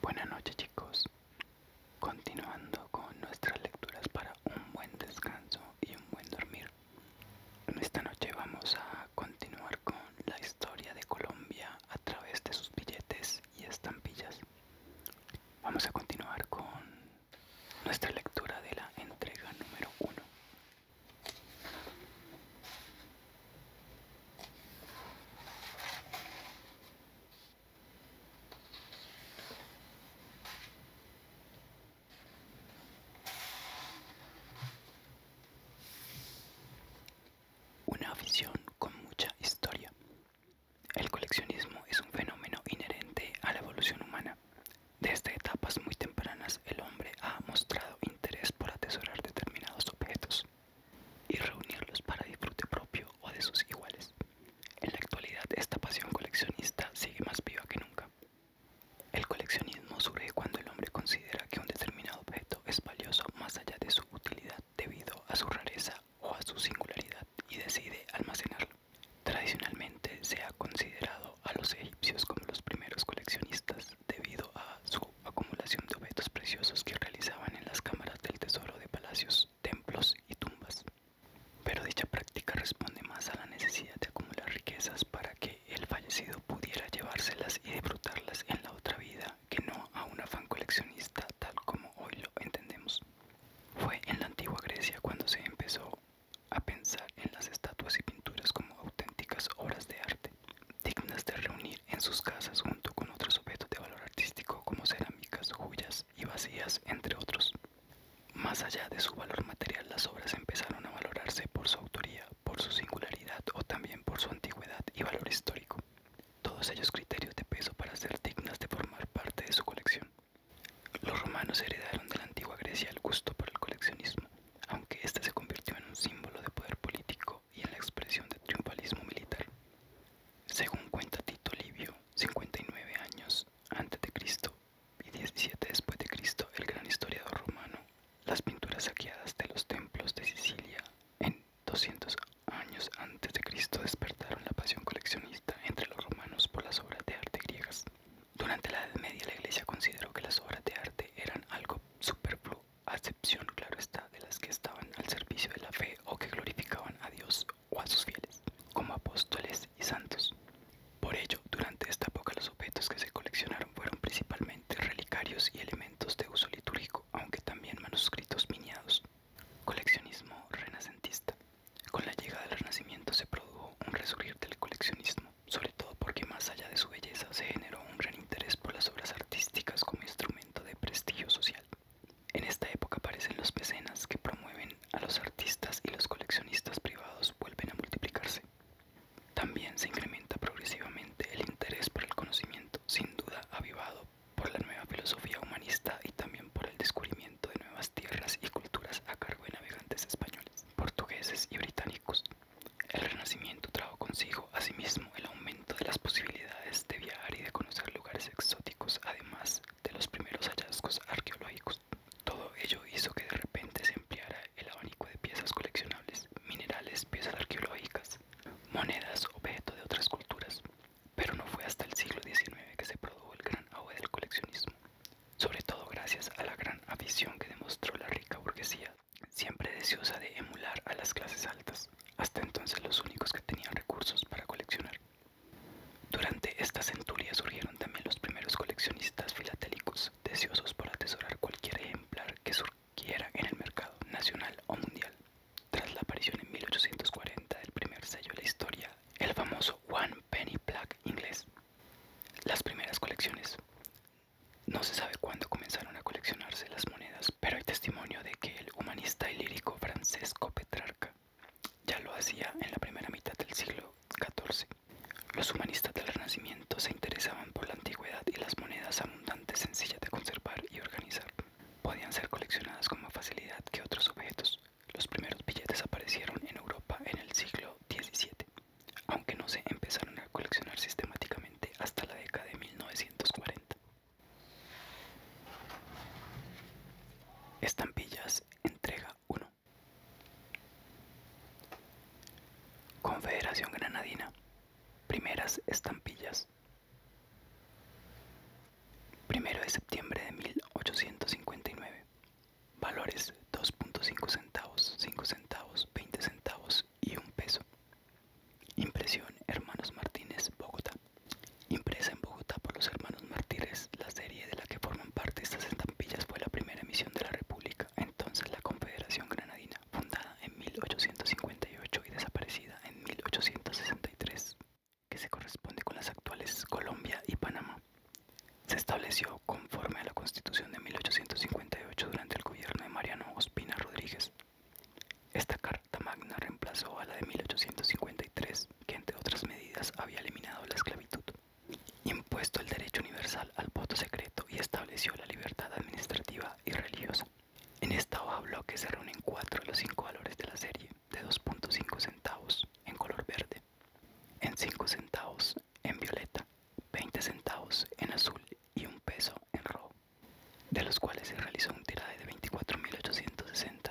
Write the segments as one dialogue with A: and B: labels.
A: Buenas noches chicos, continuando con nuestras lecturas para un buen descanso y un buen dormir. Esta noche vamos a continuar con la historia de Colombia a través de sus billetes y estampillas. Vamos a continuar con nuestra lectura de la entrega número 1. Una visión con mucha historia. El coleccionismo es un fenómeno inherente a la evolución humana. Desde etapas muy tempranas el hombre ha mostrado interés por atesorar determinados objetos y reunirlos para disfrute propio o de sus iguales. En la actualidad esta pasión coleccionista sigue más viva que nunca. El coleccionismo surge cuando el hombre considera que un determinado objeto es valioso más allá de su utilidad debido a su rareza o a su singularidad y decide almacenarlo. Tradicionalmente se ha considerado a los egipcios como los primeros coleccionistas debido a su acumulación de objetos preciosos que realizaban en las cámaras del tesoro de palacios, templos y tumbas. Pero dicha práctica responde más a la necesidad de acumular riquezas para que el fallecido pudiera llevárselas y disfrutarlas en la otra vida que no a una fan coleccionista tal como hoy lo entendemos. Fue en la antigua Grecia cuando se empezó a pensar en las estatuas y pinturas como auténticas obras de arte, dignas de reunir en sus casas con otros objetos de valor artístico como cerámicas, joyas y vacías, entre otros. Más allá de su valor material, las obras empezaron a valorarse por su autoría, por su singularidad o también por su antigüedad y valor histórico, todos ellos criterios de peso para ser dignas de formar parte de su colección. Los romanos heredaron de la antigua Grecia el gusto por el coleccionismo, aunque éste se convirtió en un símbolo de poder político y en la expresión de triunfalismo militar. Según cuenta Tito Livio, 59 años antes de Cristo y 17 después de Cristo, el gran historiador romano, las pinturas saqueadas de los templos de Sicilia en 200 años antes de Cristo despertaron la pasión coleccionista entre los romanos por las obras de arte griegas. Durante la Edad Media la Iglesia consideró que las obras de arte eran algo superfluo, a excepción, claro está, de las que estaban al servicio de la fe o que glorificaban a Dios o a sus fieles, como apóstoles y santos. Por ello, durante esta época los objetos que se coleccionaron fueron principalmente relicarios y elementos de uso litúrgico, aunque también manuscritos miniados. Coleccionismo renacentista. Con la llegada del Renacimiento se produjo un resurgir del coleccionismo, sobre todo porque más allá de su belleza se generó un gran interés por las obras artísticas como instrumento de prestigio social. En esta época aparecen los mecenas que promueven a los artistas y los coleccionistas privados vuelven a multiplicarse. También se incrementa progresivamente el interés por el conocimiento, sin duda avivado por la nueva filosofía humanista y también por el descubrimiento de nuevas tierras y culturas a cargo de navegantes españoles, portugueses y británicos. El Renacimiento trajo consigo asimismo el aumento de las posibilidades de viajar y de conocer lugares exóticos, además de los primeros hallazgos arqueológicos. Todo ello hizo que de repente se empleara el abanico de piezas coleccionables, minerales, piezas arqueológicas, monedas, objetos de otras culturas. Pero no fue hasta el siglo XIX que se produjo el gran auge del coleccionismo, sobre todo gracias a la gran afición que demostró la rica burguesía, siempre deseosa de emular a las clases altas. Hasta entonces los únicos que tenían recursos para coleccionar durante esta centuria surgieron también los primeros coleccionistas filatélicos, deseosos por atesorar cualquier ejemplar que surgiera en el mercado nacional o mundial. Tras la aparición en 1840 del primer sello de la historia, el famoso One Penny Black inglés, las primeras colecciones. No se sabe cuándo comenzaron a coleccionarse las monedas pero hay testimonio de que el humanista y lírico Francesco Petrarca ya lo hacía en la primera mitad del siglo XIV. Los humanistas del Renacimiento se interesaban por la antigüedad y las monedas abundantes, sencillas de conservar y organizar. Podían ser coleccionadas con más facilidad que otros objetos. Los primeros billetes aparecieron en Europa en el siglo XVII, aunque no se empezaron a coleccionar sistemáticamente hasta la década de 1940. Estampillas, entrega 1. Confederación Granadina. Primeras estampillas. 1 de septiembre de 1859. Valores 2.5 centavos, 5 centavos, 20 centavos y 1 peso. Impresión Hermanos Martínez, Bogotá. Impresa en Bogotá por los hermanos mártires la serie de la que forman parte estas estampillas fue la primera emisión de la República, entonces la Confederación Granadina, fundada en 1858 y desaparecida en 1863, que se corresponde con las actuales Colombia y Panamá. Se estableció conforme a la Constitución de 1858 durante el gobierno de Mariano Ospina Rodríguez. Esta esta Magna reemplazó a la de 1853, que entre otras medidas había eliminado la esclavitud, impuesto el derecho universal al voto secreto y estableció la libertad administrativa y religiosa. En esta hoja que se reúnen cuatro de los cinco valores de la serie, de 2.5 centavos en color verde, en 5 centavos en violeta, 20 centavos en azul y un peso en rojo, de los cuales se realizó un tirade de 24.860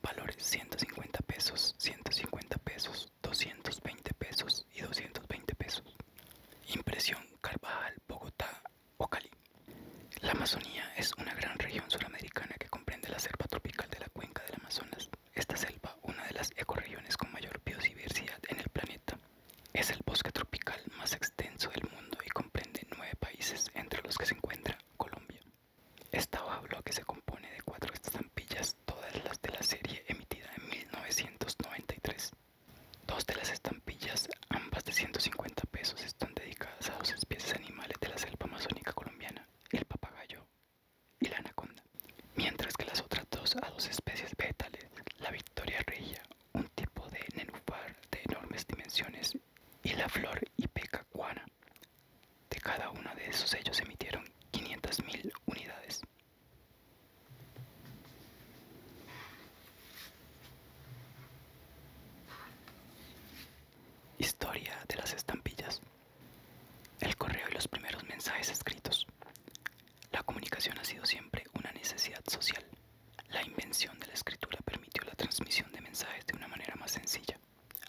A: Valores 150 pesos, 150 pesos, 220 pesos y 220 pesos. Impresión Carvajal, Bogotá o La Amazonía es una gran región suramericana que comprende la selva tropical de la cuenca del Amazonas. Esta selva, una de las ecoregiones con mayor biodiversidad en el planeta, es el bosque tropical más extenso del mundo y comprende nueve países entre los que se encuentra Colombia. Esta babla que se compone de cuatro estampillas, todas las de la serie emitida en 1993. Dos de las estampillas, ambas de 150 pesos, están dedicadas a dos especies animales de la selva amazónica colombiana, el papagayo y la anaconda, mientras que las otras dos a dos especies vegetales, la victoria regia, un tipo de nenúfar de enormes dimensiones, y la flor ipecacuana de cada uno de esos sellos emitieron 500.000 unidades. Historia de las estampillas. El correo y los primeros mensajes escritos. La comunicación ha sido siempre una necesidad social. La invención de la escritura permitió la transmisión de mensajes de una manera más sencilla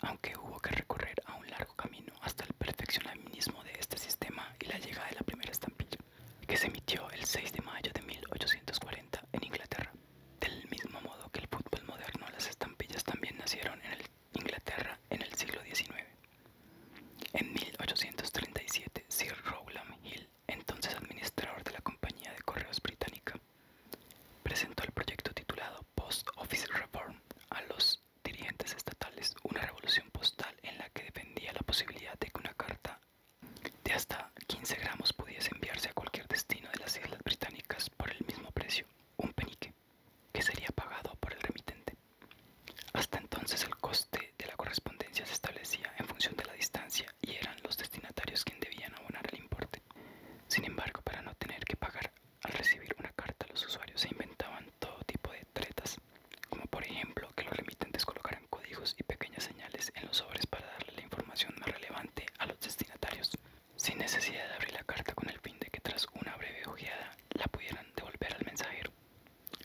A: aunque hubo que recorrer a un largo camino hasta el perfeccionamiento de este sistema y la llegada de la primera estampilla, que se emitió el 6 de mayo de 1840 en Inglaterra. Del mismo modo que el fútbol moderno, las estampillas también nacieron en Inglaterra en el siglo XIX. En 1837, Sir Rowland Hill, entonces administrador de la Compañía de Correos Británica, presentó el proyecto titulado Post Office Reform a los dirigentes estatales una revolución postal en la que dependía la posibilidad de que una carta de hasta 15 gramos pudiese enviarse a cualquier destino de las Islas Británicas por el mismo precio, un penique, que sería pagado por el remitente. Hasta entonces el coste de la correspondencia se establecía en función de la distancia y eran los destinatarios quienes debían abonar el importe. Sin embargo, para no tener que pagar al recibir una carta, los usuarios se inventaban todo tipo de tretas, como por ejemplo que los remitentes colocaran códigos y pequeñas señales en los sobres para darle la información más relevante a los destinatarios, sin necesidad de abrir la carta con el fin de que tras una breve ojeada la pudieran devolver al mensajero.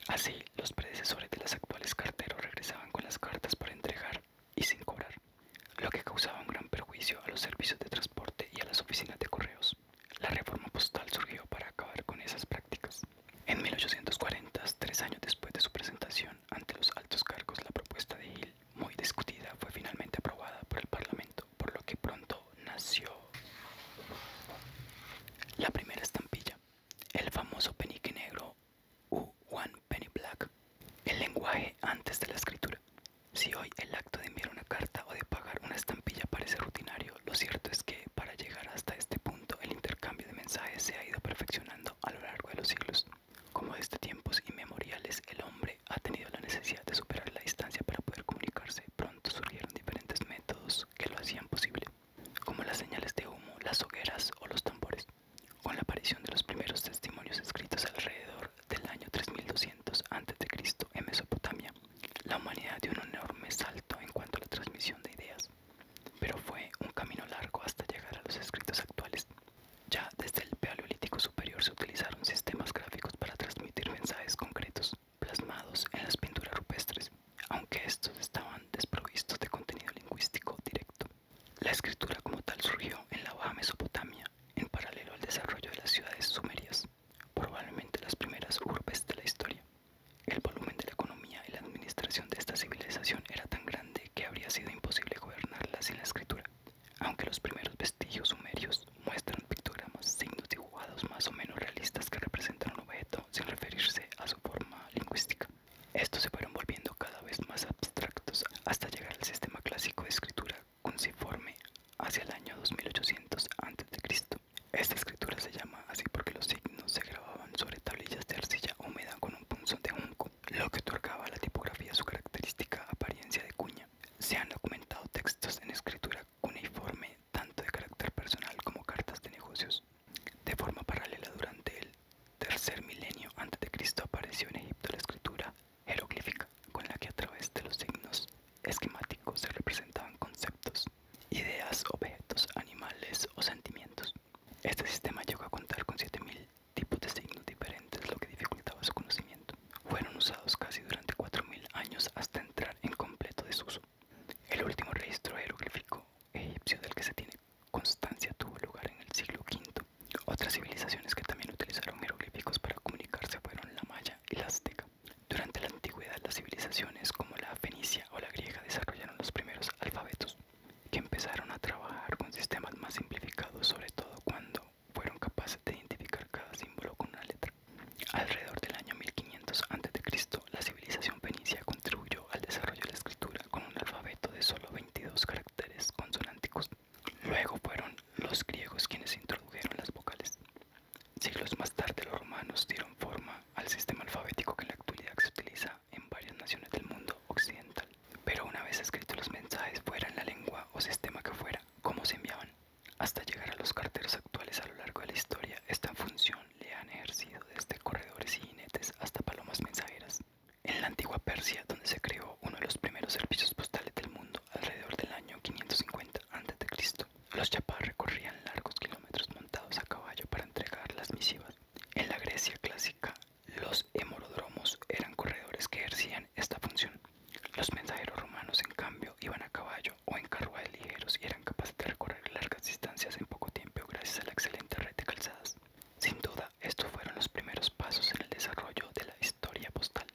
A: Así, los predecesores de los actuales carteros regresaban con las cartas para entregar y sin cobrar, lo que causaba un gran perjuicio a los servicios de transporte y a las oficinas de correos. La reforma postal surgió para acabar con esas prácticas. En 1840, tres años después de su presentación ante los altos cargos, la propuesta de Hill, muy discutida, fue finalmente aprobada por el Parlamento, por lo que pronto nació la primera estampilla, el famoso penique negro u One Penny Black, el lenguaje antes de la escritura. Si hoy el acto de enviar una carta o de pagar una estampilla parece rutinario, lo cierto es que para llegar hasta este punto el intercambio de mensajes se ha ido perfeccionando a lo largo de los siglos. Como desde este tiempos inmemoriales el hombre ha tenido la necesidad de superar la distancia para poder comunicarse, pronto surgieron diferentes métodos que lo hacían posible, como las señales de humo, las hogueras o los tambores. Con la aparición de los primeros testimonios escritos alrededor del año 3200 a.C. en Mesopotamia, la humanidad dio un enorme salto en cuanto a la transmisión de ideas, pero fue un camino largo hasta llegar a los escritos actuales. Ya desde el Paleolítico Superior se utilizaron sistemas gráficos para transmitir mensajes concretos, plasmados en las pinturas rupestres, aunque estos estaban desprovistos de contenido lingüístico directo. La escritura como tal surgió en la Baja Mesopotamia, en paralelo al desarrollo de las ciudades sumerias probablemente las primeras urbes de la historia. El volumen de la economía y la administración de esta civilización era tan grande que habría sido imposible gobernarla sin la escritura, aunque los primeros vestigios sumerios muestran pictogramas, signos dibujados más o menos realistas que representan un objeto sin referirse a su forma lingüística. Estos se fueron volviendo cada vez más abstractos hasta llegar al sistema clásico de escritura cuneiforme hacia el año 2800 a.C. Esta escritura se llama así porque los signos se grababan sobre tablillas de arcilla húmeda con un punzón de junco, lo que otorgaba a la tipografía su característica apariencia de cuña. Se han documentado textos en escritura cuneiforme tanto de carácter personal como cartas de negocios. De forma paralela durante el tercer milenio antes de Cristo apareció en Egipto la escritura jeroglífica, con la que a través de los signos esquemáticos se representaban conceptos ideas, objetos, animales o sentimientos. Este sistema llegó a contar con 7.000 tipos de signos diferentes, lo que dificultaba su conocimiento. Fueron usados casi durante 4.000 años hasta entrar en completo desuso. El último registro jeroglífico egipcio del que se tiene constancia tuvo lugar en el siglo V. Otras civilizaciones que también utilizaron jeroglíficos para comunicarse fueron la maya y la azteca. Durante la antigüedad, las civilizaciones como la fenicia o la griega desarrollaron los primeros alfabetos, que empezaron a trabajar con sistemas más simplificados, sobre todo cuando fueron capaces de identificar cada símbolo con una letra. Alrededor del año 1500 a.C., la civilización fenicia contribuyó al desarrollo de la escritura con un alfabeto de solo 22 caracteres consonánticos. Luego fueron los griegos quienes introdujeron las vocales. Siglos más tarde los romanos dieron forma al sistema alfabético que en la actualidad se utiliza en varias naciones del mundo occidental. Pero una vez escritos los mensajes fuera en la lengua o sistema que fuera, ¿cómo se enviaban? Hasta llegar a los carteros actuales a lo largo de la historia, esta función le han ejercido desde corredores y jinetes hasta palomas mensajeras. En la antigua Persia, donde se creó uno de los primeros servicios postales del mundo alrededor del año 550, antes de Cristo. los chapas recorrían largos kilómetros montados a caballo para entregar las misivas. En la Grecia clásica, los hemorodromos eran corredores que ejercían esta función. Los mensajeros romanos, en cambio, iban a caballo o en carruajes ligeros y eran capaces de recorrer largas distancias en poco tiempo gracias a la excelente red de calzadas. Sin duda, estos fueron los primeros pasos en el desarrollo de la historia postal.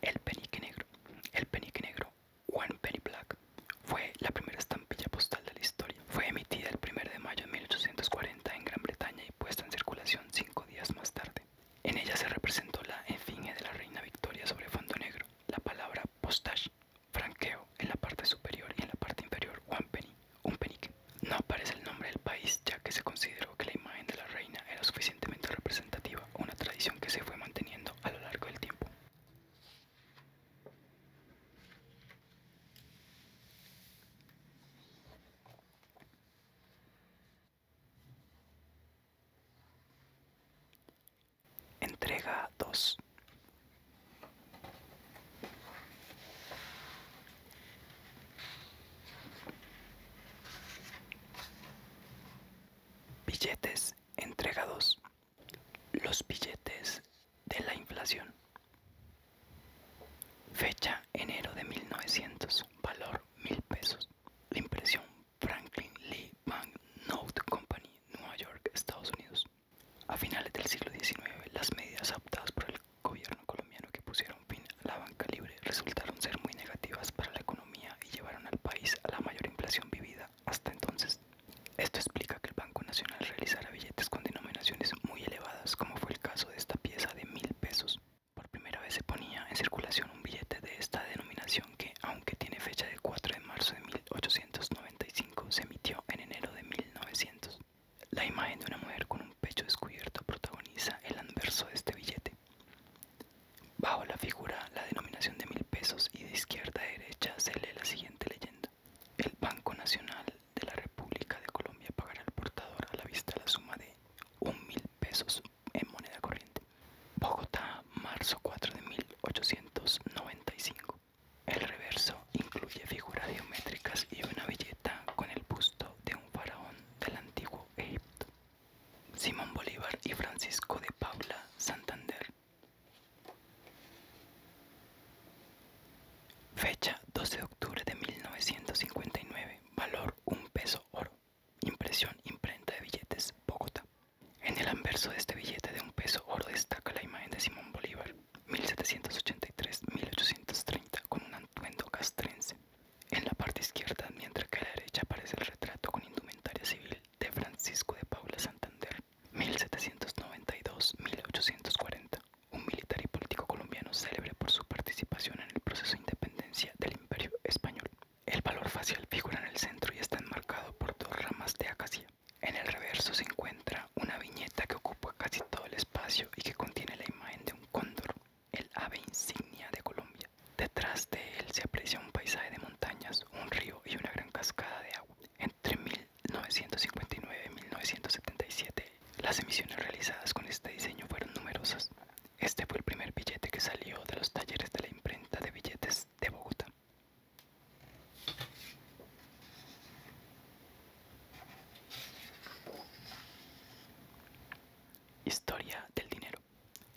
A: El penique negro. El penique negro One Penny Black fue la primera estampilla postal de la historia. Fue emitida el 1 de mayo de 1840 en Gran Bretaña y puesta en circulación cinco días más tarde. En ella se representó la efigie de la reina Victoria sobre fondo negro, la palabra postage, franqueo, en la parte superior y en la parte inferior one penny, un penique. No aparece el nombre del país ya que se consideró que la imagen de la reina era suficientemente representativa, una tradición que se fue manteniendo a lo largo del tiempo. Entrega 2. Billetes entregados. Los billetes de la inflación. Fecha enero de 1900. Valor mil pesos. La impresión Franklin Lee Note Company, Nueva York, Estados Unidos. A finales del siglo XIX, las medidas adoptadas por el gobierno colombiano que pusieron fin a la banca libre resultaron ser muy negativas para la economía y llevaron al país a la mayor inflación vivida hasta entonces. Esto explica que el Banco Nacional realizara billetes con denominaciones muy elevadas, como fue el caso de esta pieza de mil pesos. Por primera vez se ponía en circulación un billete de esta denominación que, aunque tiene fecha de 4 de marzo de 1895, se emitió en enero de 1900. La imagen de una mujer con un pecho descubierto protagoniza el anverso de este billete. Bajo la figura, la denominación de mil pesos y de izquierda a derecha se lee la siguiente leyenda. El Banco Nacional de la República de Colombia pagará al portador a la vista la suma de un mil pesos en moneda corriente. Bogotá, marzo 4 de 1895. El reverso incluye figuras geométricas y una billeta con el busto de un faraón del antiguo Egipto. Simón Bolívar y Francisco de Paula Santander Fecha 12 de octubre de 1959. Valor 1 peso oro. Impresión imprenta de billetes Bogotá. En el anverso de este billete de un peso oro destaca la imagen de Simón Bolívar, 1783-1830, con un atuendo castrense. En la parte izquierda, mientras que a la derecha aparece el retrato con indumentaria civil de Francisco de Paula Santander, 1792-1840, un militar y político colombiano célebre por su participación en el proceso de independencia del Imperio Español. El valor facial figura en el centro y está enmarcado por dos ramas de acacia. En el reverso se encuentra una viñeta que ocupa casi todo el espacio y que contiene la imagen de un cóndor, el ave insignia de Colombia. Detrás de él se aprecia un paisaje de montañas, un río y una gran cascada de agua. Entre 1959 y 1977, las emisiones realizadas con este diseño fueron numerosas. Este fue el primer billete que salió de los talleres de la imprenta de billetes de Bogotá. Historia del dinero.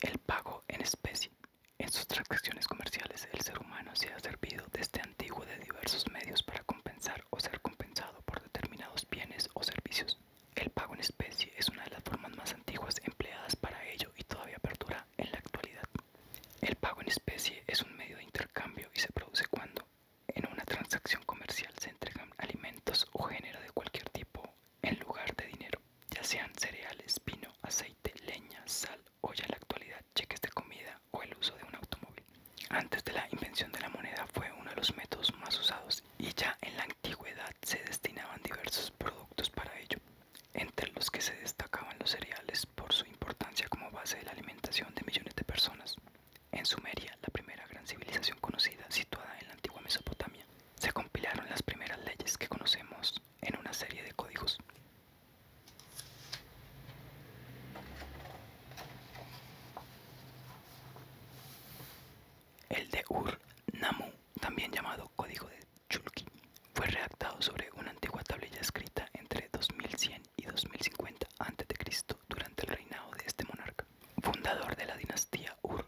A: El pago en especie. En sus transacciones comerciales, el ser humano se ha servido desde este antiguo de diversos medios para compensar o ser compensado por determinados bienes o servicios. El pago en especie es una de las formas más antiguas empleadas para ello y todavía perdura en la actualidad. El pago en especie es un medio de intercambio y se produce cuando en una transacción comercial se entregan alimentos o género de cualquier tipo en lugar de dinero, ya sean cereales, vino, aceite, leña, sal, hoy en la actualidad cheques de comida o el uso de un automóvil. Antes de la invención de la moneda fue uno de los métodos más usados y ya en la antigüedad se destinaban diversos productos para ello, entre los que se destacaban los cereales por su importancia como base de la alimentación de millones de personas. En Sumeria, la primera gran civilización conocida situada en la antigua Mesopotamia, se compilaron las primeras leyes que conocemos en una serie de códigos. El de ur nammu también llamado Código de Chulki, fue redactado sobre una antigua tablilla escrita entre 2100 y 2050 a.C. durante el reinado de este monarca, fundador de la dinastía Ur.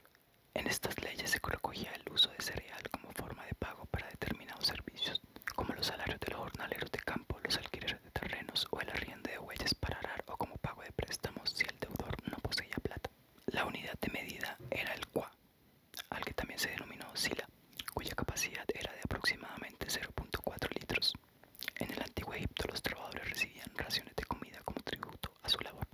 A: En estas leyes se recogía el uso de cereal como forma de pago para determinados servicios como los salarios de los jornaleros de campo, los alquileres de terrenos o el arriendo de huellas para arar o como pago de préstamos si el deudor no poseía plata. La unidad de medida era el qua, al que también se denominó sila, cuya capacidad era de aproximadamente 0.4 litros. En el antiguo Egipto los trabajadores recibían raciones de comida como tributo a su labor.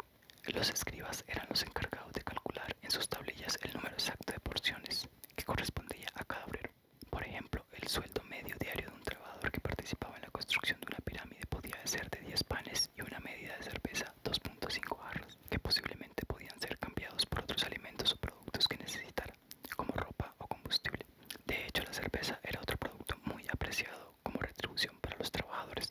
A: Los escribas eran los encargados de calcular en sus tablillas el número exacto de porciones que correspondía a cada obrero. Por ejemplo, el sueldo medio diario de un trabajador que participaba en la construcción de una pirámide podía ser de 10 panes y una medida de cerveza 2.5 barras, que posiblemente podían ser cambiados por otros alimentos o productos que necesitara, como ropa o combustible. De hecho, la cerveza era otro producto muy apreciado como retribución para los trabajadores.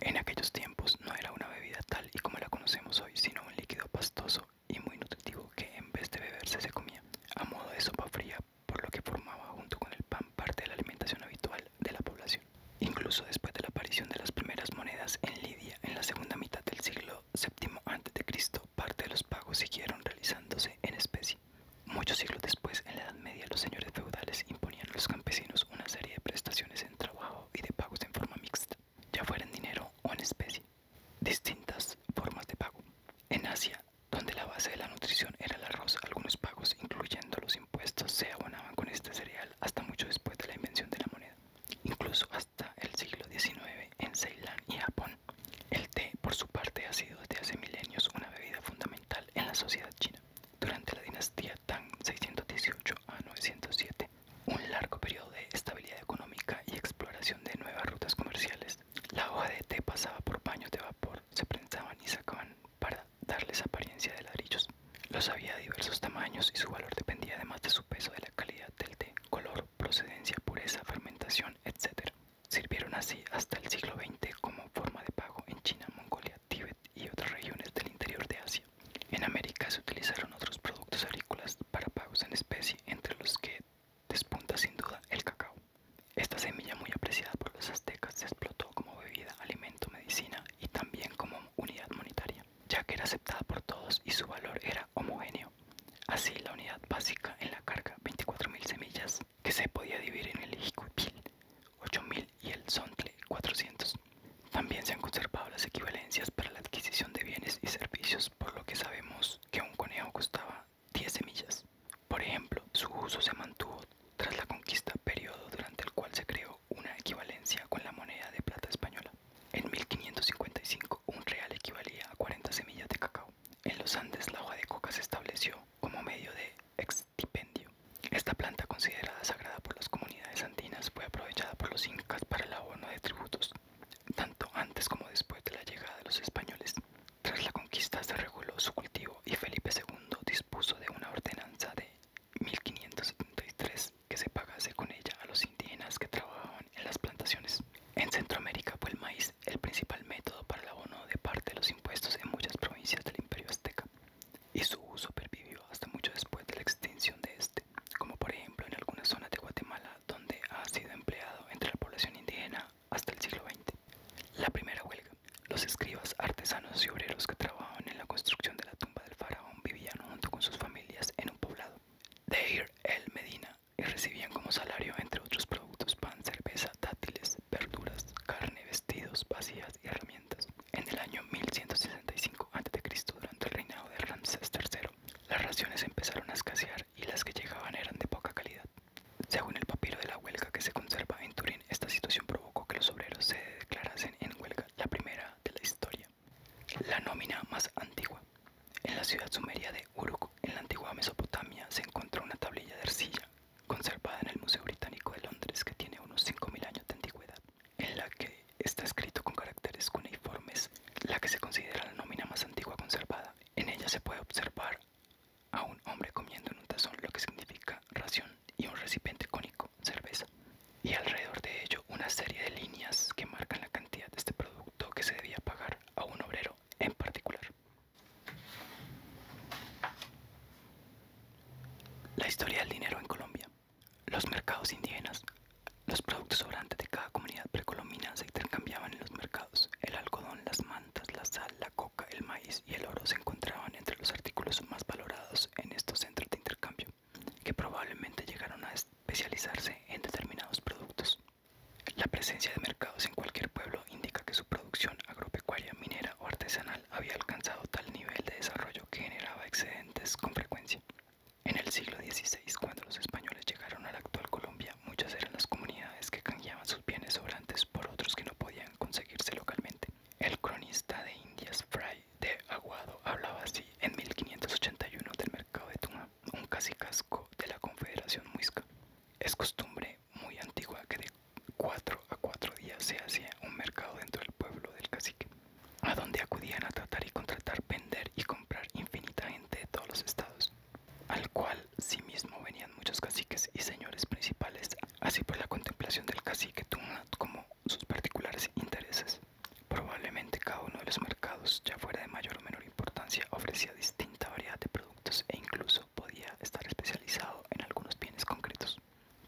A: En aquellos tiempos no era una bebida tal y como la conocemos hoy, sino un líquido pastoso y muy nutritivo que en vez de beberse se comía a modo de sopa fría, por lo que formaba junto con el pan parte de la alimentación habitual de la población. Incluso después de la aparición de las primeras monedas en Lidia en la segunda mitad del siglo VII a.C., parte de los pagos siguieron realizándose en especie. Muchos siglos después, en la Edad Media, los señores feudales imponían a los campesinos una serie de prestaciones en trabajo y de pagos en forma mixta, ya fuera en dinero o en especie distintas formas de pago. En Asia, donde la base de la nutrición era el arroz, algunos pagos, incluyendo los impuestos, se abonaban con este cereal hasta mucho después de la invención de la moneda, incluso hasta el siglo XIX en Ceilán y Japón. El té, por su parte, ha sido desde hace milenios una bebida fundamental en la sociedad china. Durante la dinastía Tang 618 a 907, un largo periodo de estabilidad económica y exploración de nuevas rutas comerciales. La hoja de té pasaba por paños de vapor, se prensaban y sacaban para darles apariencia de ladrillos. Los había de diversos tamaños y su valor dependía además de su peso, de la calidad del té, color, procedencia, pureza, fermentación, etc. Sirvieron así hasta el siglo XX como forma de pago en China, Mongolia, Tíbet y otras regiones del interior de Asia. En América se utilizaron otros productos agrícolas para pagos en especie, entre los que Despunta sin duda el cacao. Esta semilla muy apreciada por los aztecas se explotó como bebida, alimento, medicina y también como unidad monetaria, ya que era aceptada por todos y su valor era homogéneo. Así, la unidad básica en la carga, 24.000 semillas, que se podía dividir en el jicupil, 8.000 y el Zontle, 400. También se han conservado las equivalencias para la adquisición de bienes y servicios por lo que sabemos que un conejo costaba 10 semillas. Por ejemplo, su uso se mantuvo tras la conquista, periodo durante el cual se creó una equivalencia con la moneda de plata española. En 1555 un real equivalía a 40 semillas de cacao. En los Andes la hoja de coca se estableció como medio de estipendio. Esta planta considerada sagrada por las comunidades andinas fue aprovechada por los incas para el abono de tributos tanto antes como después de la llegada de los españoles. Tras la conquista se reguló su cultivo y Felipe II dispuso de una ordenanza de 1573 que se pagase con ella a los indígenas que trabajaban en las plantaciones. En Centroamérica fue el maíz el principal método para el abono de parte de los impuestos en muchas provincias del imperio azteca y su uso pervivió hasta mucho después de la extinción de este, como por ejemplo en algunas zonas de Guatemala donde ha sido empleado entre la población indígena hasta el siglo XX. La primera huelga. Los escribas, artesanos y obreros que trabajaban en la construcción de la tumba del faraón vivían junto con sus familias en un poblado, Ir el Medina, y recibían como salario, entre otros productos, pan, cerveza, dátiles, verduras, carne, vestidos, vacías y herramientas. En el año 1165 a.C., durante el reinado de Ramsés III, las raciones empezaron a escasear y las que llegaban eran de poca calidad. Según el papiro de la huelga que se conserva en Turín, esta situación provocó que los obreros se declarasen en huelga, la primera de la historia. La nómina más antigua. En la ciudad sumeria de Uruk, en la antigua Mesopotamia, se encontró una tablilla de arcilla conservada en el Museo Británico de Londres que tiene unos 5.000 años de antigüedad, en la que está escrito con caracteres cuneiformes, la que se considera la nómina más antigua conservada en ella se puede observar a un hombre comiendo en un tazón lo que significa ración y un recipiente cónico, cerveza, y alrededor de ello una serie de líneas que marcan la cantidad de este producto que se debía pagar a un obrero en particular. La historia del dinero en Colombia. Los mercados indígenas. Los productos sobrantes de cada comunidad precolombina se intercambiaban en los mercados el algodón, las mantas, la sal, la coca, el maíz y el oro se encontraban entre los artículos más valorados en estos centros de intercambio, que probablemente llegaron a especializarse en determinados productos. La presencia de mercados en cualquier pueblo indica que su producción agropecuaria, minera o artesanal había alcanzado tal nivel de desarrollo que generaba excedentes con frecuencia. En el siglo XVI, cuando los españoles llegaron a la actual Colombia, muchas eran las comunidades que canjeaban sus bienes sobrantes por otros que no podían conseguirse localmente. El cronista de Indias Fray de Aguado hablaba así en 1581 del mercado de Tuna, un casicasco de la Confederación Muisca. Es costumbre muy antigua que de cuatro a cuatro días se hacía un mercado dentro del pueblo del cacique, a donde acudían a tratar y contratar, vender y comprar infinitamente de todos los estados al cual sí mismo venían muchos caciques y señores principales, así por pues, la contemplación del cacique Tunat como sus particulares intereses. Probablemente cada uno de los mercados, ya fuera de mayor o menor importancia, ofrecía distinta variedad de productos e incluso podía estar especializado en algunos bienes concretos.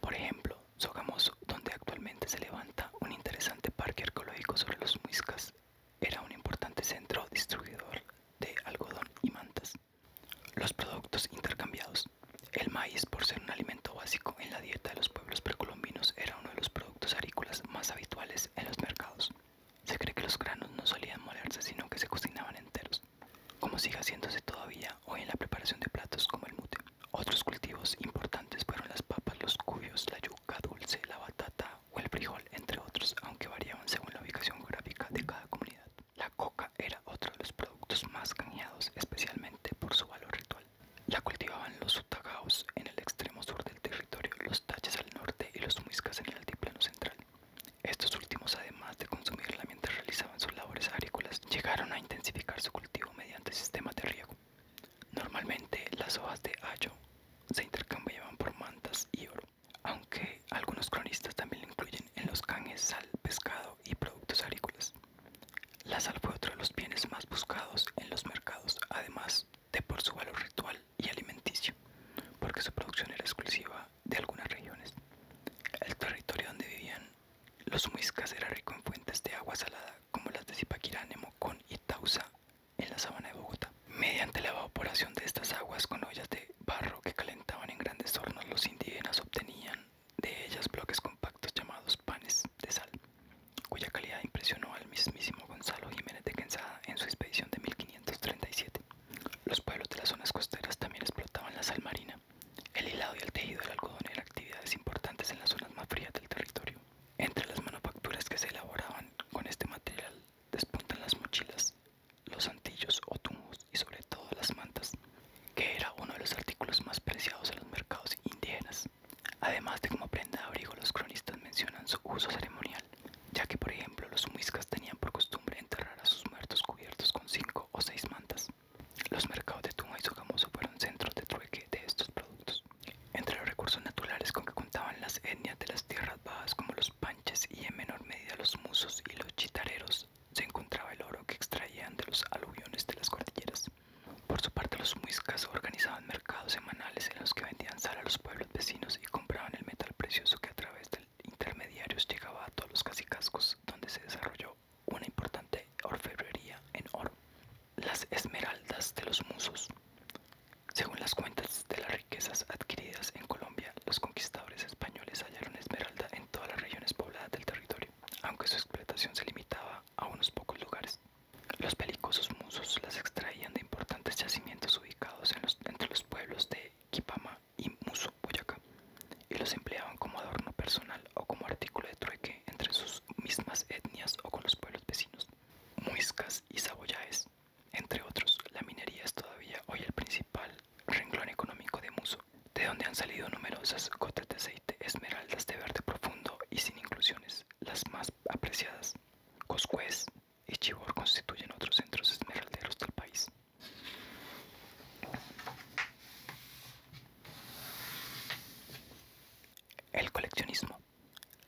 A: Por ejemplo, Sogamoso, donde actualmente se levanta un interesante parque arqueológico sobre los muiscas, era un importante centro distribuidor de algodón y mantas. Los productos intercambiados. El maíz, por ser un alimento básico en la dieta de los pueblos precolombinos, era uno de los productos agrícolas más habituales en los mercados. Se cree que los granos no solían molerse, sino que se cocinaban enteros, como sigue haciéndose todavía hoy en la preparación de platos como el mute. Otros cultivos importantes fueron las papas, los cubios, la yuca dulce, la batata o el frijol, entre otros, aunque variaban según la ubicación geográfica de cada comunidad. La coca era otro de los productos más canjeados, especialmente por su valor ritual. La cultivaban los sutagaos en el extremo sur del territorio, los taches al norte y los humiscas en el altiplano central. Estos últimos, además de consumirla mientras realizaban sus labores agrícolas, llegaron a intensificar su cultivo mediante sistemas de riego. Normalmente, las hojas de ayo se intercambiaban por mantas y oro aunque algunos cronistas también lo incluyen en los canjes sal, pescado y productos agrícolas. La sal fue otro de los bienes más buscados en los mercados, además de por su valor ritual y alimenticio, porque su producción era exclusiva de algunas regiones. El territorio donde vivían los muiscas era rico en fuentes de agua salada, como las de Zipaquirá, Nemocón y Tausa en la sabana de Bogotá. Mediante la evaporación de estas aguas con ollas de barro que calentaban en grandes hornos, los indígenas obtenían de ellas bloques compactos llamados panes de sal, cuya calidad impresionó al mismísimo Gonzalo Jiménez de Quenzada en su expedición de 1537. Los pueblos de las zonas costeras también explotaban la sal marina. El hilado y el tejido del algodón eran actividades importantes en las zonas más frías del territorio. Entre las manufacturas que se elaboraban con este material despuntan las mochilas, los antillos o tungos y sobre todo las mantas, que era uno de los artículos más preciados en los mercados indígenas. Además de como prenda de abrigo, los cronistas mencionan su uso ceremonial, ya que por ejemplo los muiscas tenían por costumbre enterrar a sus muertos cubiertos con cinco o seis mantas. Los mercados de tumba y Sogamoso fueron centros de trueque de estos productos. Entre los recursos naturales con que contaban las etnias de las tierras bajas como los y en menor medida los musos y los chitareros se encontraba el oro que extraían de los aluviones de las cordilleras. Por su parte, los muiscas organizaban mercados semanales en los que vendían sal a los pueblos vecinos y compraban el metal precioso que a través de intermediarios llegaba a todos los casicascos donde se desarrolló una importante orfebrería en oro. Las esmeraldas de los musos. Según las cuentas de la adquiridas en Colombia, los conquistadores españoles hallaron esmeralda en todas las regiones pobladas del territorio, aunque su explotación se limitaba a unos pocos lugares. Los pelicosos musos las extraían de importantes yacimientos ubicados entre los pueblos de Quipama y Muso, Boyacá, y los empleaban como adorno personal o como artículo de trueque entre sus mismas etnias o con los pueblos vecinos. Muiscas y saboyaes entre otros, la minería es todavía hoy el principal renglón económico de Muso, de donde han salido numerosas gotas de aceite, esmeraldas de verde profundo y sin inclusiones, las más apreciadas. Coscuez y Chibor constituyen otros centros esmeralderos del país. El coleccionismo.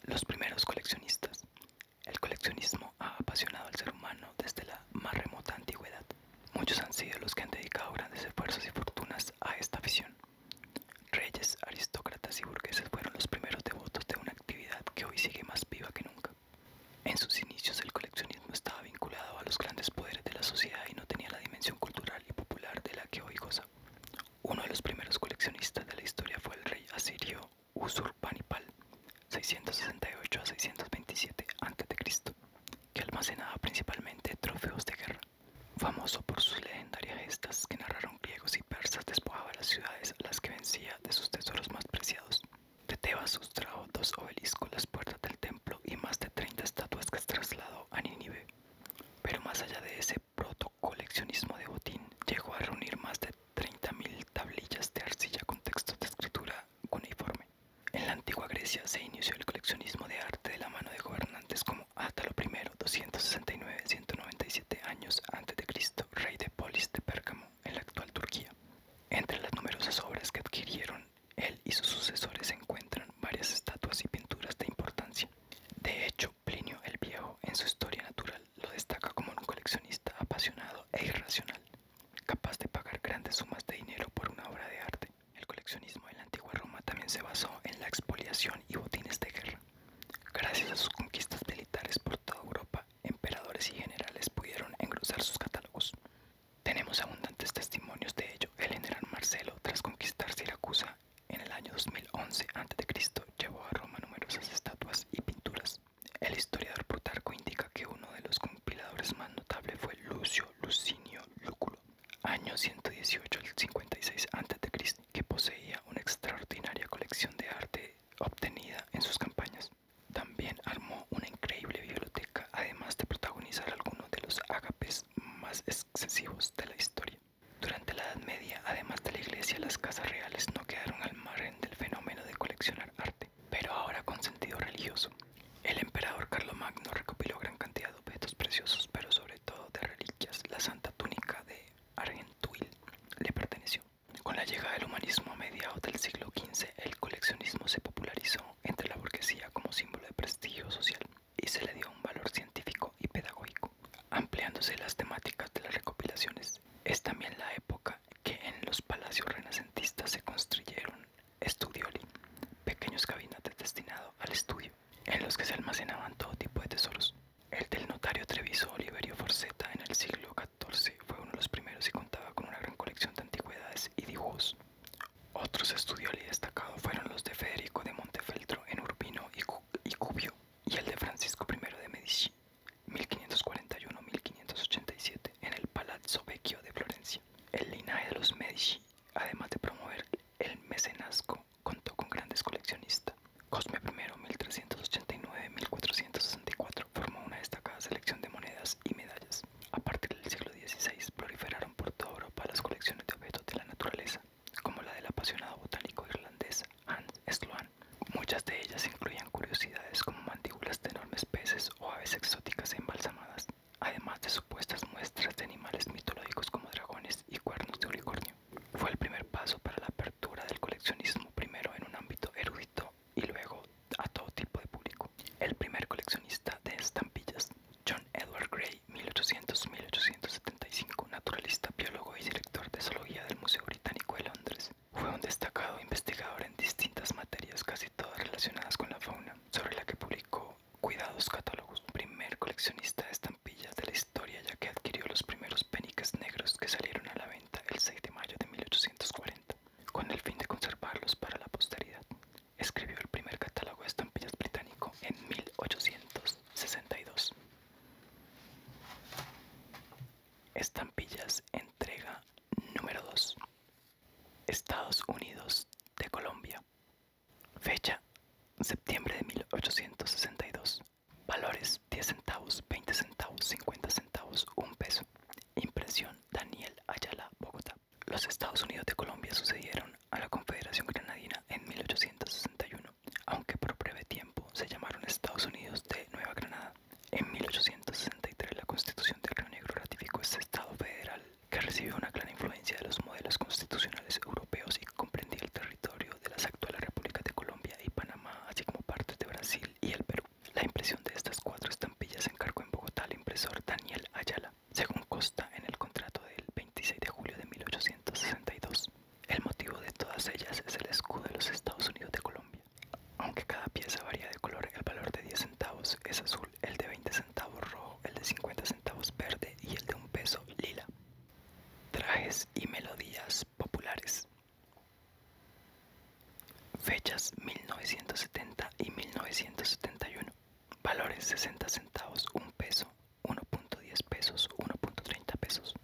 A: Los primeros coleccionistas el coleccionismo ha apasionado al ser humano desde la más remota antigüedad. Muchos han sido los que han dedicado grandes esfuerzos y fortunas a esta afición. Reyes, aristócratas y burgueses fueron los primeros devotos de una actividad que hoy sigue más viva que nunca. En sus inicios el coleccionismo estaba vinculado a los grandes poderes de la sociedad y no tenía la dimensión cultural y popular de la que hoy goza. Uno de los primeros coleccionistas de la historia fue el rey asirio Usurpanipal 668 a 627 a.C., que almacenaba principalmente trofeos de guerra. Famoso por sus legendarias gestas que narraron griegos y persas, despojaba las ciudades a las que vencía de sus tesoros más preciados. De Tebas sustrajo dos obeliscos, las puertas del templo y más de 30 estatuas que trasladó a Nínive. Pero más allá de ese protocoleccionismo de botín, llegó a reunir más de 30.000 tablillas de arcilla con textos de escritura cuneiforme. En la antigua Grecia se inició el coleccionismo de arte de la mano de gobernantes como Átalo I, 269-197 años antes de Cristo, rey de Polis de Pérgamo, en la actual Turquía. Entre las numerosas obras que adquirieron él y sus sucesores se encuentran varias estatuas y pinturas de importancia. De hecho, Plinio el Viejo en su Historia Natural lo destaca como un coleccionista apasionado e irracional capaz de pagar grandes sumas de dinero por una obra de arte. El coleccionismo de la antigua Roma también se basó en la expoliación y botines de guerra. Gracias a sus conquistas militares por toda Europa, emperadores y generales pudieron engrosar sus catálogos. Tenemos abundantes testimonios de ello. El general Marcelo, tras conquistar Siracusa en el año 2011 a.C., llevó a Roma numerosas estatuas y pinturas. El historiador Plutarco indica que uno de los compiladores más notables fue Lucio Lucinio Lúculo, año 118 al 56 a.C., que poseía una extraordinaria colección de arte obtenida en sus campañas. También armó una increíble biblioteca, además de protagonizar algunos de los ágapes más excesivos de la historia. Durante la Edad Media, además de la iglesia, las casas reales no quedaron al margen del fenómeno de coleccionar arte pero ahora con sentido religioso. El emperador Carlomagno recopiló gran cantidad de objetos preciosos, pero sobre todo de reliquias. La santa túnica de Argentuil le perteneció. Con la llegada del humanismo a mediados del siglo XV, el coleccionismo se popularizó entre la burguesía como símbolo de prestigio social y se le dio un valor científico y pedagógico, ampliándose las temáticas de las recopilaciones. Es también la época que en los palacios renacentistas se construyeron estudioli, pequeños gabinetes destinados al estudio, en los que se almacenaban todo tipo de tesoros. El del notario Treviso Oliverio Forceta en el siglo XIV fue uno de los primeros y contaba con una gran colección de antigüedades y dibujos. Otros estudioli destacados fueron los de Federico de Montefeltro en Urbino y, y Cubio y el de Francisco I de Medici, 1541-1587 en el Palazzo Vecchio de Florencia. El linaje de los Medici, además de promover el mecenazgo, contó con grandes coleccionistas. Cosme I, 1389-1464, formó una destacada selección de monedas y medallas. A partir del siglo XVI proliferaron por toda Europa las colecciones de objetos de la naturaleza, como la del apasionado botánico irlandés Hans Sloane. Muchas de ellas incluían curiosidades como mandíbulas de enormes peces o aves exóticas embalsamadas, además de supuestas muestras de animales mitológicos como dragones y cuernos de unicornio. Fue el primer paso para la apertura del coleccionismo, primero en un ámbito erudito y luego a todo tipo de público. El primer coleccionista de estampillas, John Edward Gray, 1800-1875, naturalista, biólogo y director de zoología del Museo Británico de Londres, fue un destacado investigador en distintas materias, casi todas relacionadas con la fauna, sobre la que publicó cuidados catálogos. Primer coleccionista de estampillas de la historia, ya que adquirió los primeros peniques negros que salieron a la venta el 6 de mayo de 1840, con el fin de conservarlos para la posteridad. Escribió el primer catálogo de estampillas británico en 1862. Estampillas, entrega número 2. Estados Unidos de Colombia. Fecha, septiembre de 1862. Valores 10 centavos, 20 centavos, 50 centavos, 1 peso. Impresión Daniel Ayala, Bogotá. Los Estados Unidos de Colombia sucedieron a la Confederación Granadina en 1861, aunque por breve tiempo se llamaron Estados Unidos de Nueva Granada en 1863 la Constitución del Río Negro ratificó este Estado federal, que recibió una clara influencia de los modelos constitucionales europeos y comprendía el territorio de las actuales repúblicas de Colombia y Panamá, así como partes de Brasil y el Perú. La impresión de estas cuatro estampillas se encargó en Bogotá al impresor Daniel Ayala, según consta en el contrato del 26 de julio de 1862. El motivo de todas ellas es el escudo de los Estados Unidos de Colombia. Aunque cada pieza varía de color, el valor de 10 centavos es azul, el de 20 centavos rojo, el de 50 centavos verde y el de un peso lila. Trajes y melodías populares. Fechas 1970 y 1971. Valores 60 centavos, 1 peso, 1.10 pesos, 1.30 pesos.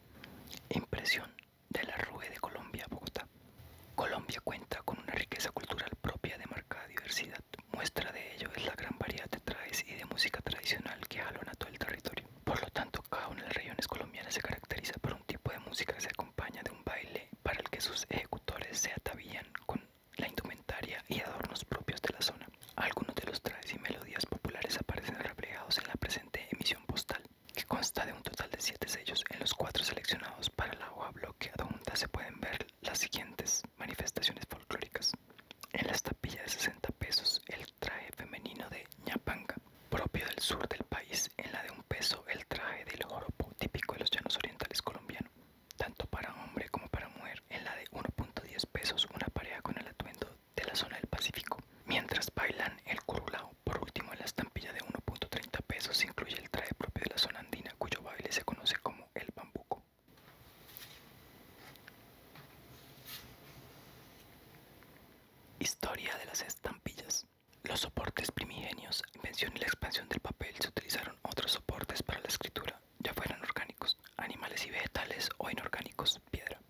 A: Impresión de la Rue de Colombia, Bogotá. Colombia cuenta con una riqueza cultural propia de marcada diversidad. Muestra de ello es la gran variedad de trajes y de música tradicional que a todo el territorio. Por lo tanto, cada una de las regiones colombianas se caracteriza por un tipo de música que se acompaña de un baile para el que sus ejecutores se atavían con la indumentaria y adornos propios de la zona. Algunos de los trajes y melodías populares aparecen reflejados en la presente emisión postal, que consta de un total de siete sellos. En los cuatro seleccionados para la hoja bloqueada donde se pueden ver las siguientes manifestaciones folclóricas. En la estampilla de 60 pesos, el traje femenino de ñapanga, propio del sur del país. En la de un peso, el traje del joropo, típico de los llanos orientales colombianos, tanto para hombre como para mujer. En la de 1.10 pesos, una pareja con el atuendo de la zona del Pacífico. Mientras bailan el curulao. Por último, en la estampilla de 1.30 pesos, se incluye el traje propio de la zona andina, cuyo baile se como el bambuco. Historia de las estampillas. Los soportes primigenios, invención y la expansión del papel se utilizaron otros soportes para la escritura, ya fueran orgánicos, animales y vegetales o inorgánicos, piedra.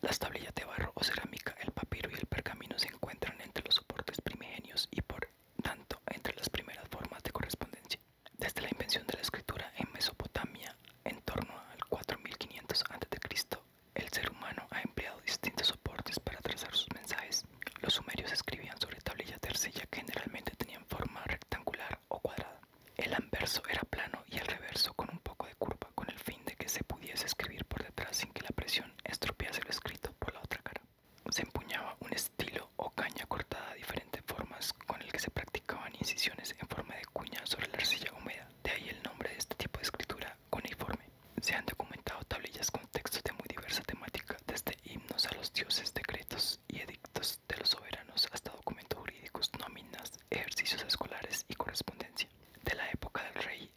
A: Las tablillas de barro o cerámica, el papiro y el pergamino se encuentran entre los soportes primigenios y por tanto entre las primeras formas de correspondencia. Desde la invención de la escritura en Mesopotamia, en torno al 4500 a.C., el ser humano ha empleado distintos soportes para trazar sus mensajes. Los sumerios escribían sobre tablillas de arcilla que generalmente tenían forma rectangular o cuadrada. El anverso era plano y el reverso con un poco de curva, con el fin de que se pudiese escribir por detrás sin que la presión estropease lo escrito por la otra cara. Se empuñaba un estilo o caña cortada a diferentes formas con el que se practicaban incisiones en forma de cuña sobre la arcilla húmeda, de ahí el nombre de este tipo de escritura cuneiforme. Se han documentado tablillas con textos de muy diversa temática, desde himnos a los dioses, decretos y edictos de los soberanos hasta documentos jurídicos, nóminas, ejercicios escolares y correspondencia. De la época del rey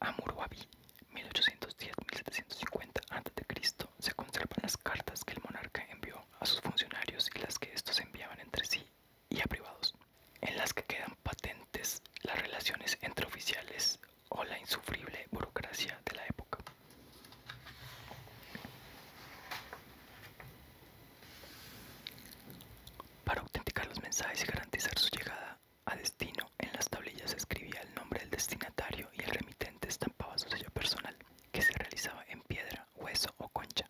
A: Amurwabi, 1810-1750 a.C., se conservan las cartas que el monarca envió a sus funcionarios y las que estos enviaban entre sí y a privados, en las que quedan patentes las relaciones entre oficiales o la insufrible burocracia de la época. Para autenticar los mensajes y garantizar su llegada a destino, en las tablillas se escribía el nombre del destinatario y el remitente estampaba su sello personal que se realizaba en piedra, hueso o concha,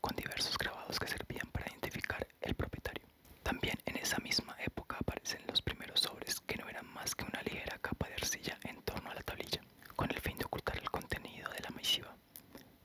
A: con diversos grabados que servían para identificar el propietario. También en esa misma época aparecen los primeros sobres que no eran más que una ligera capa de arcilla en torno a la tablilla, con el fin de ocultar el contenido de la misiva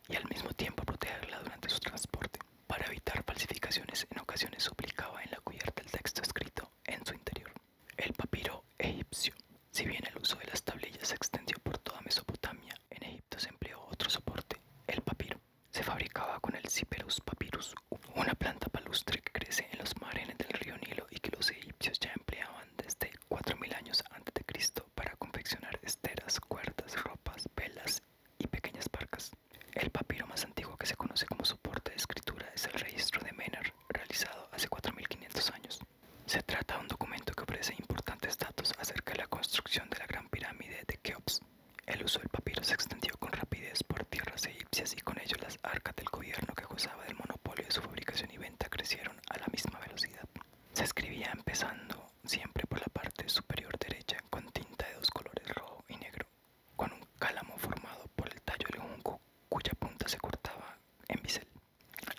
A: y al mismo tiempo protegerla durante su transporte. Para evitar falsificaciones, en ocasiones suplicaba en la cubierta el texto escrito en su interior. El papiro egipcio. Si bien el uso de las tablillas se extendió por toda Mesopotamia, en Egipto se empleó otro soporte, el papiro. Se fabricaba con el Cyperus papyrus, una planta palustre que crece en los márgenes del río Nilo y que los egipcios ya empleaban desde 4000 años antes de Cristo para confeccionar esteras, cuerdas, ropas, velas y pequeñas barcas. El papiro más antiguo que se conoce como soporte de escritura es el registro de Menar realizado hace 4.500 años. Se trata de un documento que ofrece importantes datos acerca de la construcción de la Gran Pirámide de Keops. El uso del papiro se extendió con rapidez por tierras egipcias y con ello las arcas del gobierno que gozaba del monopolio de su fabricación y venta crecieron a la misma velocidad. Se escribía empezando siempre por la parte superior derecha con tinta de dos colores rojo y negro, con un cálamo formado por el tallo de un junco cuya punta se cortaba en bisel.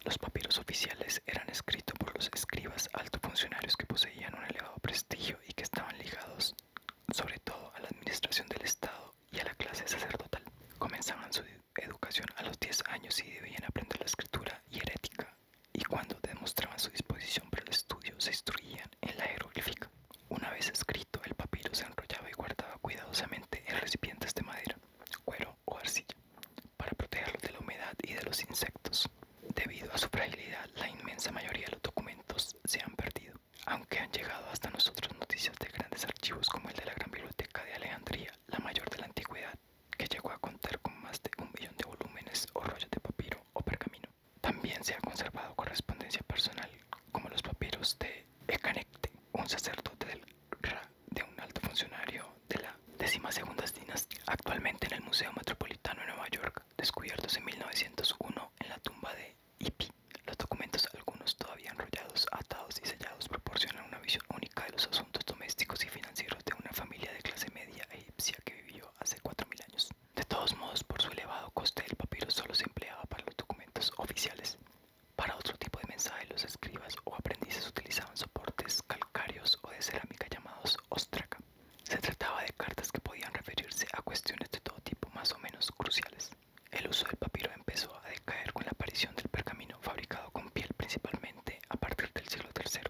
A: Los papiros oficiales eran escritos por los escribas altos funcionarios que poseían un elevado prestigio y que estaban ligados sobre todo a la administración del Estado y a la clase sacerdotal. Comenzaban su educación a los 10 años y debían aprender la escritura y herética y cuando demostraban su disposición para el estudio se instruían en la jeroglífica. Una vez escrito, el papiro se enrollaba y guardaba cuidadosamente en recipientes de madera, cuero o arcilla para protegerlos de la humedad y de los insectos. Debido a su fragilidad, la inmensa mayoría de los documentos se han perdido, aunque han llegado hasta nosotros noticias de grandes archivos como el de la Gran Biblioteca de Alejandría, la mayor de la antigüedad, que llegó a contar con más de un millón de volúmenes o rollos de papiro o pergamino. También se ha conservado correspondencia personal como los papiros de Ecanecte, un sacerdote del de un alto funcionario de la décima segunda dinastía, actualmente en el Museo Metropolitano de Nueva York, descubiertos en 1901 en la tumba de Ipi. Los documentos, algunos todavía enrollados, atados y sellados, proporcionan una visión única de los asuntos domésticos y financieros de una familia de clase media egipcia que vivió hace 4.000 años. De todos modos, por su elevado coste, el papiro solo se empleaba para los documentos oficiales. Para otro tipo de mensaje, los escribas o aprendices utilizaban soportes calcáreos o de cerámica llamados ostraca. Se trataba de cartas que podían referirse a cuestiones de todo tipo más o menos cruciales. El uso del papiro empezó a decaer con la aparición del pergamino fabricado con piel principalmente a partir del siglo III,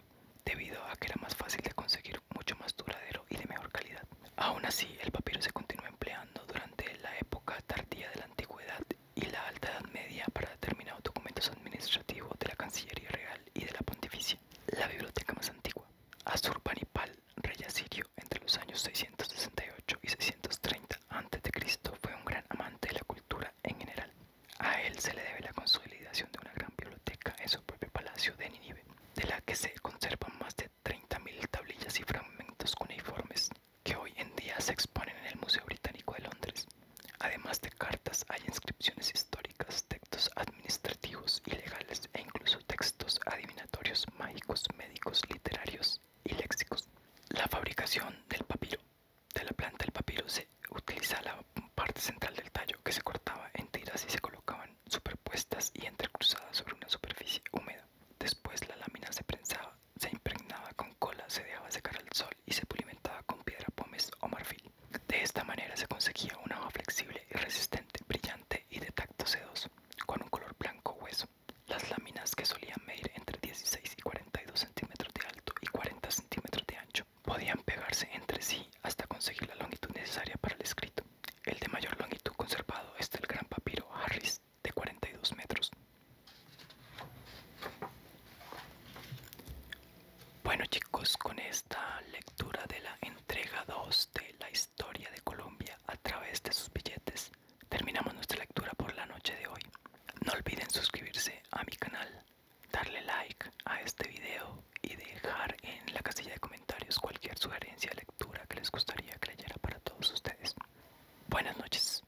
A: debido a que era más fácil de conseguir, mucho más duradero y de mejor calidad. Aún así, el papiro se continuó empleando durante la época tardía de la antigüedad y la Alta Edad Media para determinados documentos administrativos de la Cancillería Real y de la Pontificia. La biblioteca más antigua, Azurbanipal, rey asirio, entre los años 668 y 630 a.C., fue un gran amante de la cultura en general. A él se le debe la consolidación de una gran biblioteca en su propio palacio de Ninive, de la que se conservan más de 30.000 tablillas y fragmentos cuneiformes que hoy en día se exponen en el Museo Británico de Londres. Además de cartas, hay inscripciones históricas, textos administrativos y legales e incluso textos adivinatorios, mágicos, médicos, literarios y léxicos. La fabricación del papiro. De la planta del papiro se utiliza la parte central del tallo que se cortaba en tiras y se colocaban superpuestas y entrecruzadas sobre una superficie húmeda. Después la lámina se prensaba se impregnaba con cola, se dejaba secar al sol y se pulimentaba con piedra pómez o marfil. De esta manera se conseguía una hoja flexible y resistente, brillante y de tacto sedoso, con un color blanco hueso. Las láminas que solían medir entre 16 y 42 centímetros de alto y 40 centímetros de ancho podían pegarse entre sí hasta conseguir la longitud necesaria para el escrito. El de mayor longitud conservado es el gran papiro Harris de 42 metros. Bueno chicos, con esta lectura de la entrega 2 de la historia de Colombia a través de sus billetes, terminamos nuestra lectura por la noche de hoy. No olviden suscribirse a mi canal, darle like a este video y dejar en la casilla de comentarios cualquier sugerencia de lectura que les gustaría que leyera para todos ustedes. Buenas noches.